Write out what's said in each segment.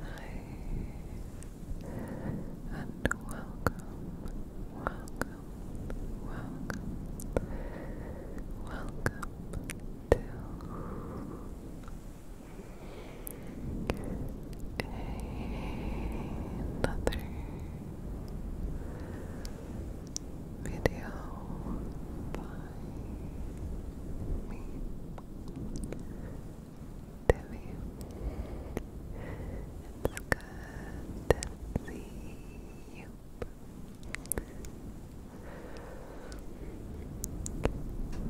Hi, and welcome, welcome, welcome, welcome to another video me, Debbie. It's good to see you.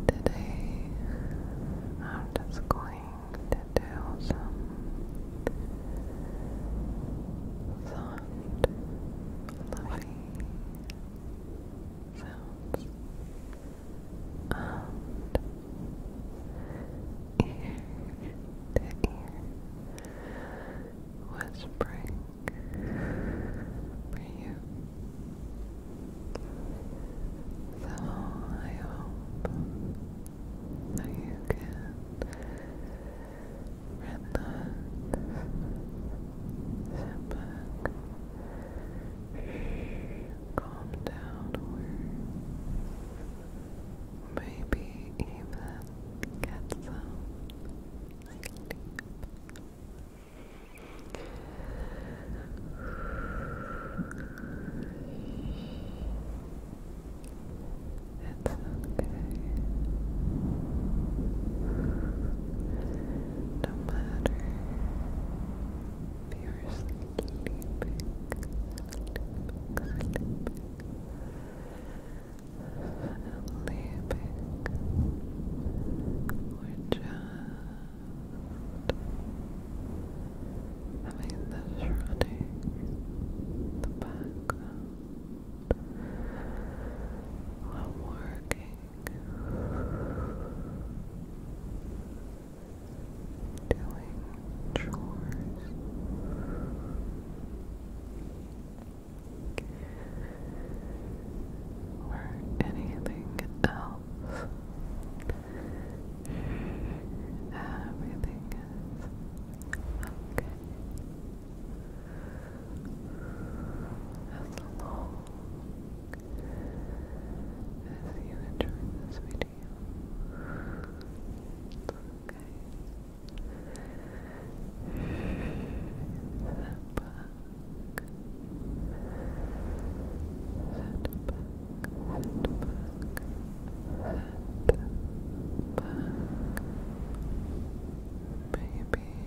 Today, I'm just going to do some soft, loving sounds and ear to ear whispering for you. So I hope that you can relax, sit back, calm down, or maybe even get some sleep. It's okay. No matter if you're sleeping, sleeping, or just having the shrouding the background while working doing chores or anything else everything is okay as long as you enjoyed this video. It's back. Sit back. Sit back. Sit back. Baby.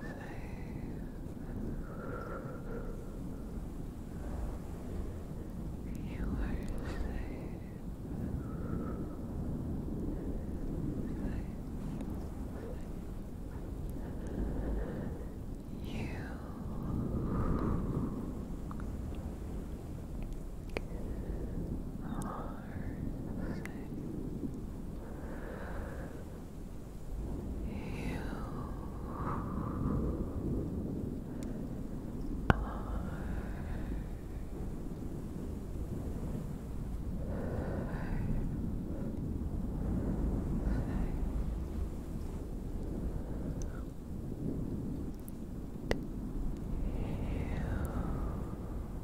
safe. You are safe. You are are You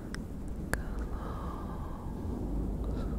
Close. Close.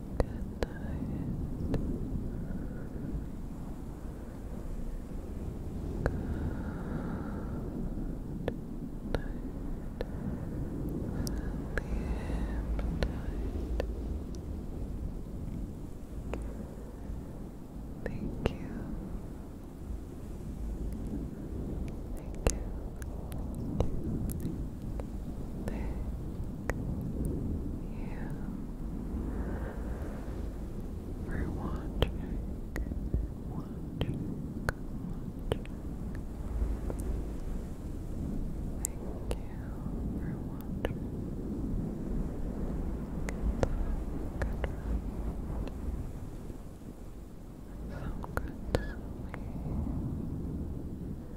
Good night. Thank you. Thank you. Thank you. Thank you pick you for watching, watching, watching. Thank you for watching. Good, good, so good sleep.